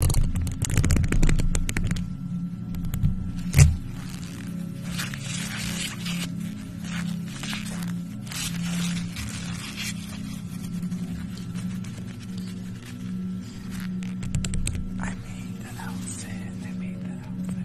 I made that outfit. I made that outfit.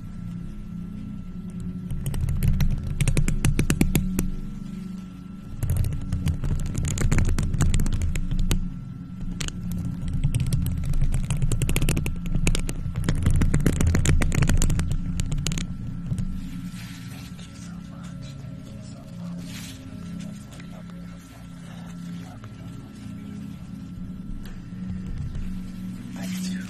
Thank you so much. Thank you so much. Beautiful, you're beautiful. You're beautiful. Thank you.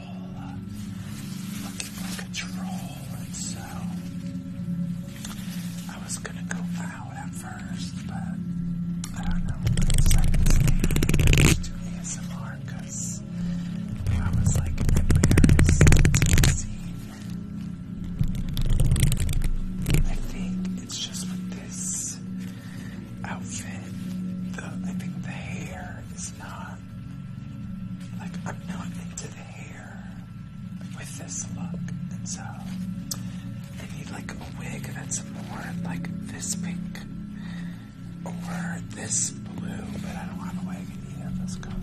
looking for control and so I was gonna go out at first but I don't know it's like it's to ASMR because I was like embarrassed to see I think it's just with this outfit I think the hair is not like I'm not into the hair with this look, and so I need like a wig that's more like this pink or this blue, but I don't have a wig in either of those colors.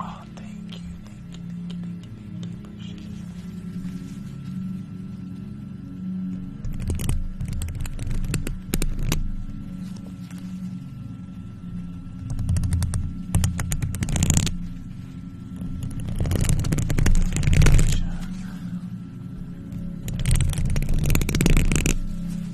Oh, thank you, thank you, thank you, thank you,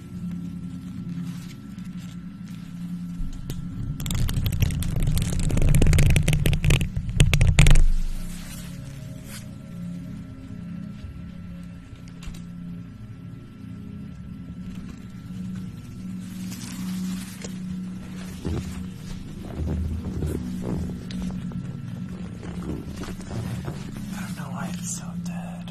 I don't know why it's so dead.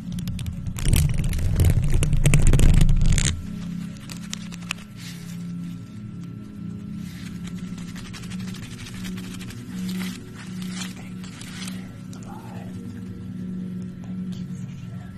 Thank you for sharing the live. Thank you for sharing the live.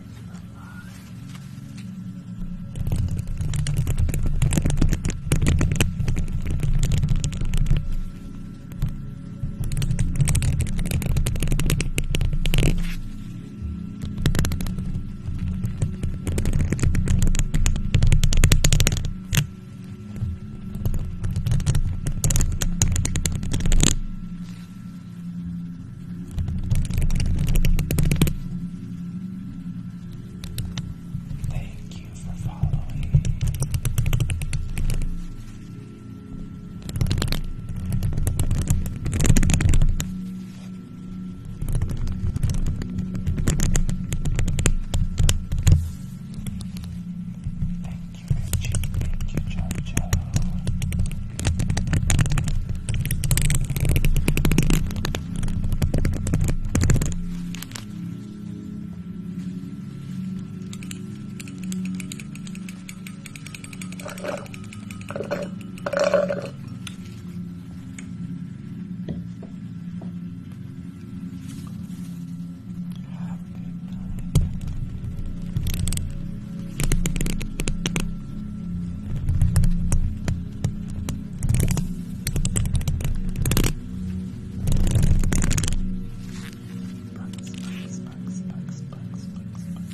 Thank you for following. Thank you, Richie. Thank you, Jojo. Bugs, bugs, bugs, bugs, bugs, bugs, bugs,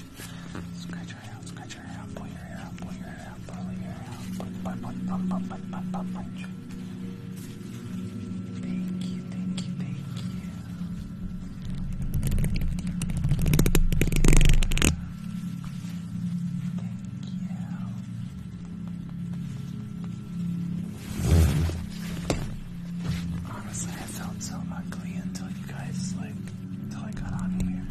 scratch. Scratch your hair out, scratch your hair out, pull your hair out, pull your hair out, pull your hair out, punch, punch, punch, punch, punch, punch, punch, punch. Thank you, thank you, thank you. Thank you. Honestly, I felt so ugly until you guys, like, until I got on here.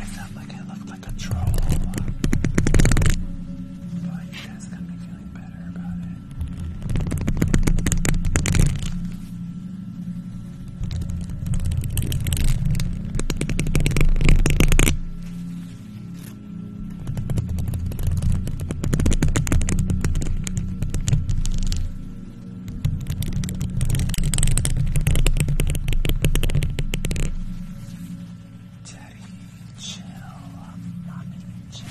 I felt like I looked like a troll. But you guys got me feeling better about it. Teddy, chill, mommy, chill.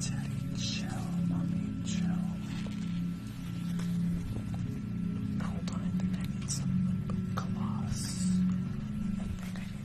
Teddy, chill, mommy, chill. Hold on, I think I need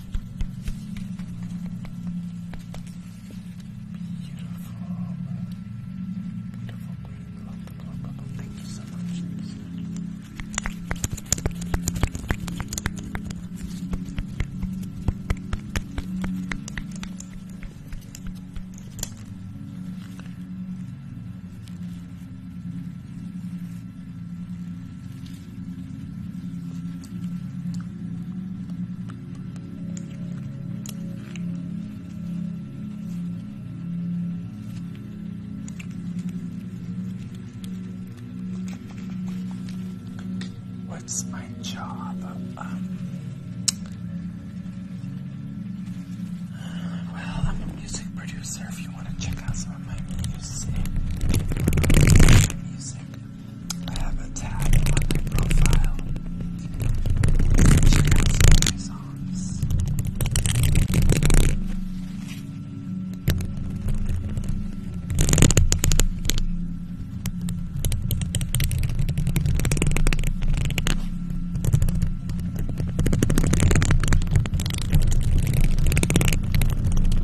Beautiful, beautiful green lump, lump, lump. Thank you so much. What's my job? Um, well, I'm a music producer. If you want to check out some of my music. I have a tab on my profile. Check out some of my songs.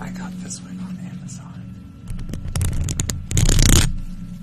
I got this one on Amazon.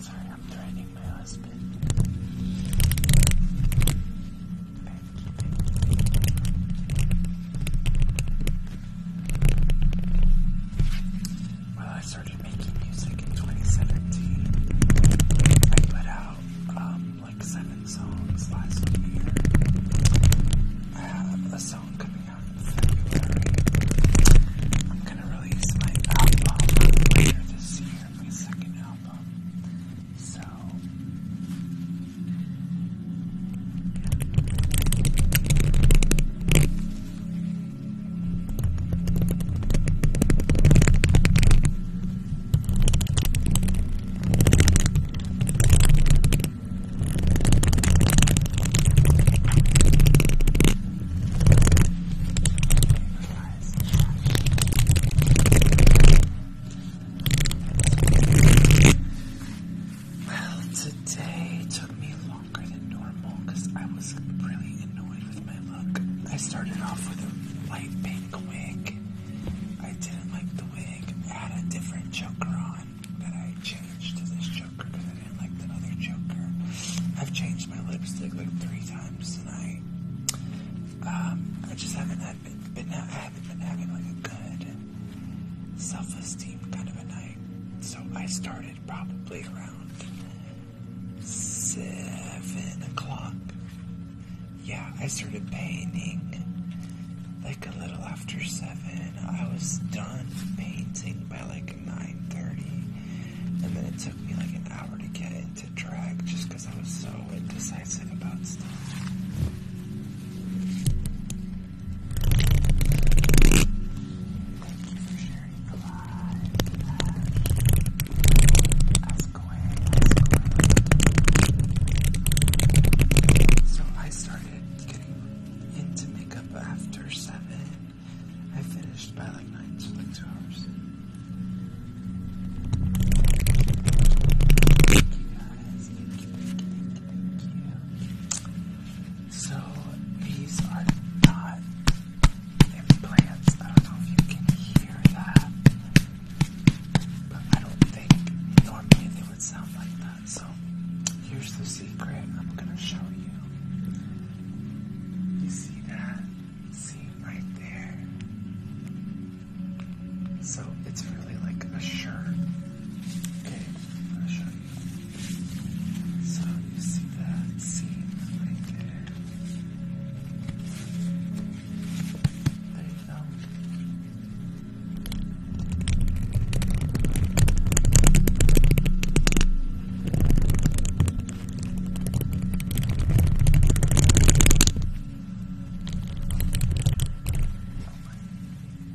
Sorry, I'm training my husband. Well, I started making music in 2017. I put out um, like seven songs last year. I have a song coming out in February. I'm gonna release my album later this year, my second album. So well, today took me longer than normal because I was really annoyed with my look. I started off with a light pink pink wig. I didn't like the wig. I had a different Joker on but I changed to this Joker. I didn't like the other choker. I've changed my lipstick like three times tonight. Um, I just haven't had been, been I haven't been having like a good self-esteem kind of a night. So I started probably around seven o'clock. Yeah, I started painting like a little after seven. I was done painting by like nine thirty, and then it took me like an hour to get into drag just because I was so indecisive about stuff. So I started getting into makeup after seven. I finished by like nine, so like two hours. So these are not implants. I don't know if you can hear that, but I don't think normally they would sound like that. So here's the secret I'm going to show you. You see that? See right there? So it's really like a shirt. Okay, I'm So you see that seam right there? There you go. Oh my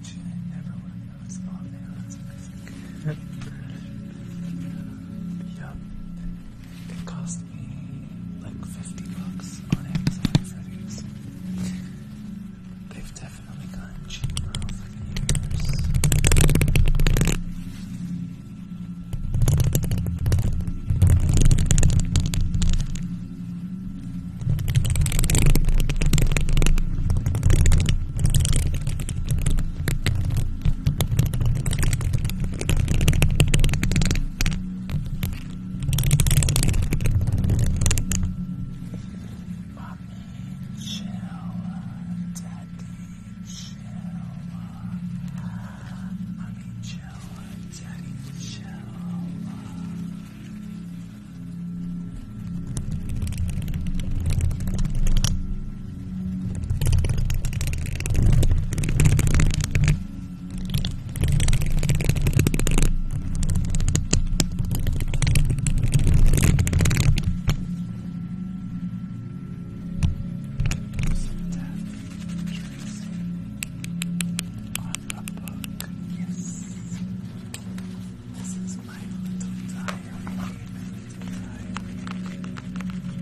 gee, I never would have noticed on there. That's amazing. yep. It cost me like 50 bucks on Amazon for these. They've definitely gotten cheaper over the years. Mommy, chill. Daddy, chill. Mommy, chill. Daddy, chill. chill. On the book, yes. This is my little diary. My little diary.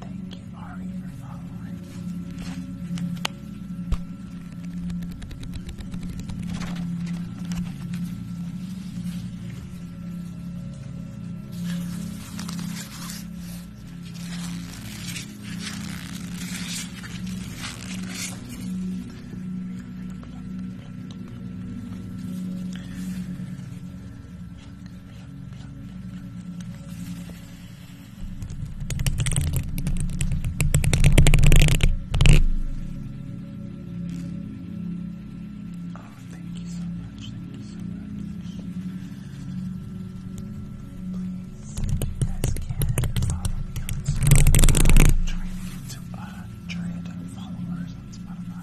Thank you, Ari, for following. Oh, thank you so much. Thank you so much. Please, if you follow me on Spotify. I'm trying to uh Try a giant followers on Spotify.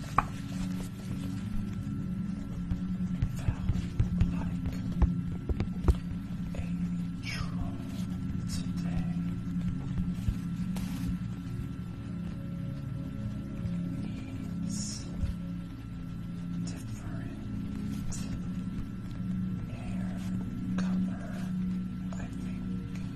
felt like a troll today. Needs different hair color, I think.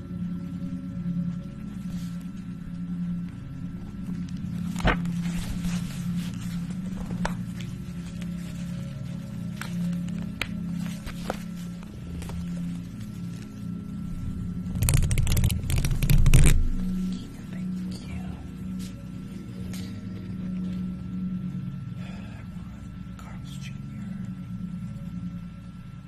Thank you. I want Carl's Jr.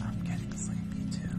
I'm getting sleepy too.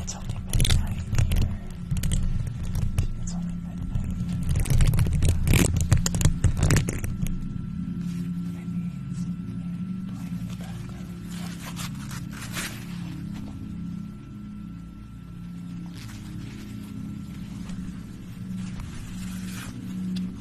It's only midnight here. It's only midnight here. Maybe it's playing in the background.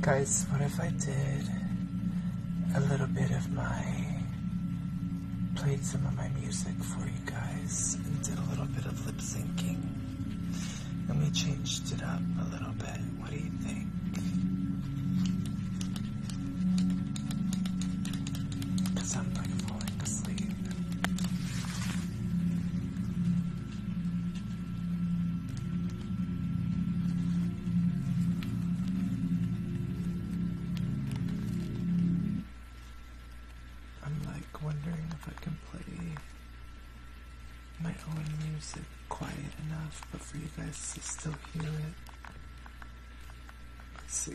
Guys, what if I did a little bit of my, played some of my music for you guys and did a little bit of lip syncing? and we changed it up a little bit. What do you think? Because I'm like falling asleep. I'm like wondering if I can play my own music quiet enough, but for you guys to still hear it. Let's see.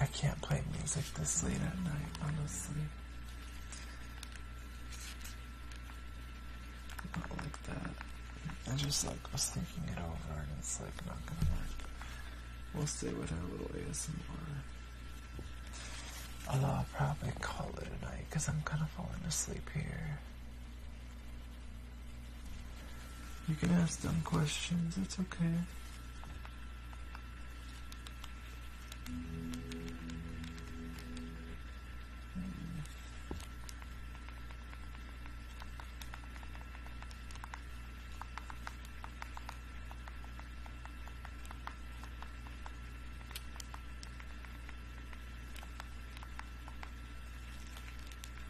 I can't play music this late at night, honestly. Not like that. I just like was thinking it over and it's like not gonna work. We'll stay with our little ASMR. Although I'll probably call it a night because I'm kind of falling asleep here. You can ask dumb questions, it's okay.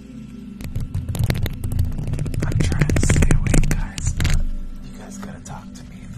I'm trying to stay awake, guys, but you guys gotta talk to me in the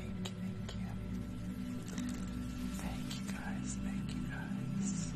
Thank you, thank you. guys, thank you guys.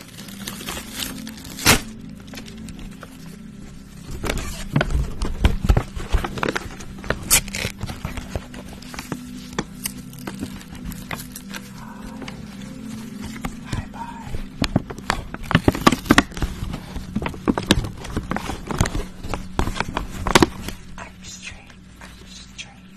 Bye bye. I'm straight. I'm straight.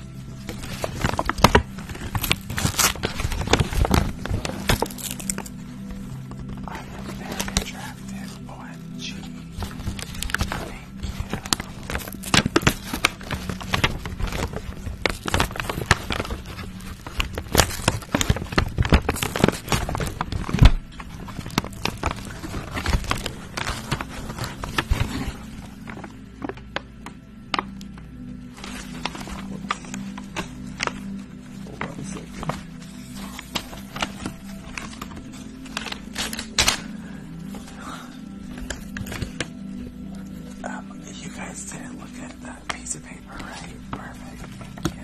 I am very attractive, OMG. Thank you you guys didn't look at that piece of paper, right? Perfect. Yeah.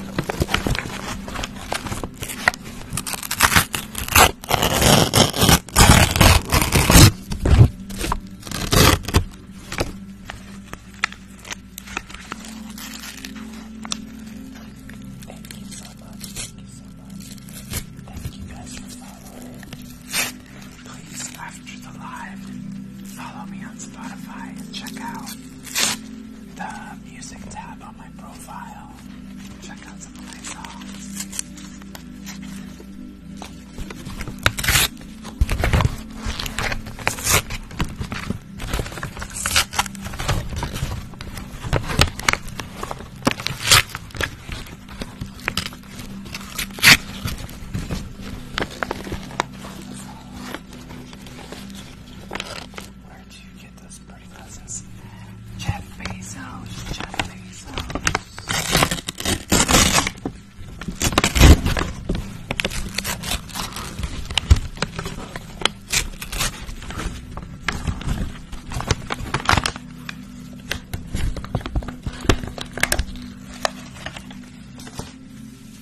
Thank you so much. Thank you so much. Thank you guys for following. Please, after the live, follow me on Spotify and check out the music tab on my profile. Check out some of my songs. Where do you get those pretty presents? Jeff Bezos, Jeff Bezos.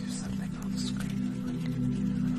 There's something on the screen that I didn't get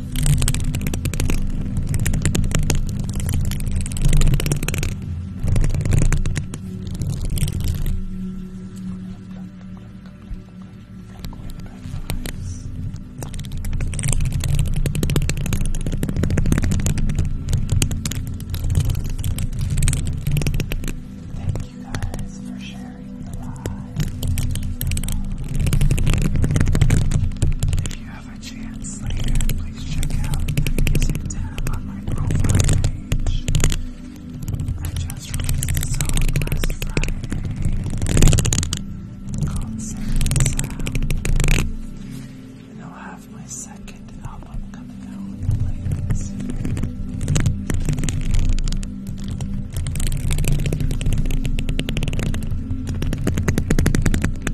Thank you guys for sharing the live. If you have a chance later, please check out his tab on my profile page. I just released a song last Friday called Second And I'll have my second album coming out in the year.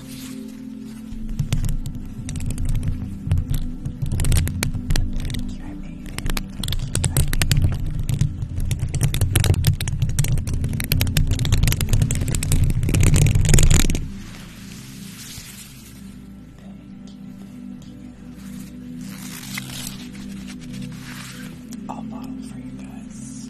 Thank you, I made it. Thank you, Thank you. I'll model for you guys.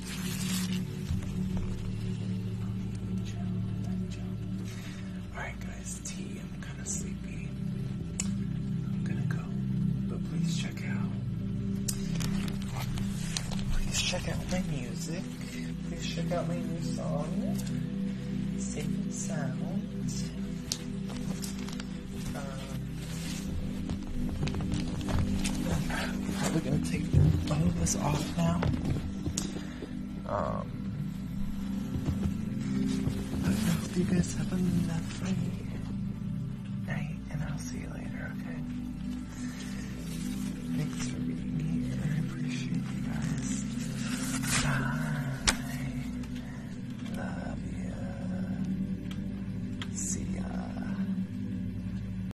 Alright, guys, tea. I'm kind of sleepy. I'm gonna go. But please check out. Please check out my music. Please check out my new song, Safe and Sound. Um, I'm probably gonna take both of us off now. Um, I hope you guys have a lovely night, and I'll see you later. Okay. Thanks for being here. I appreciate you guys. Bye. Love you. See ya.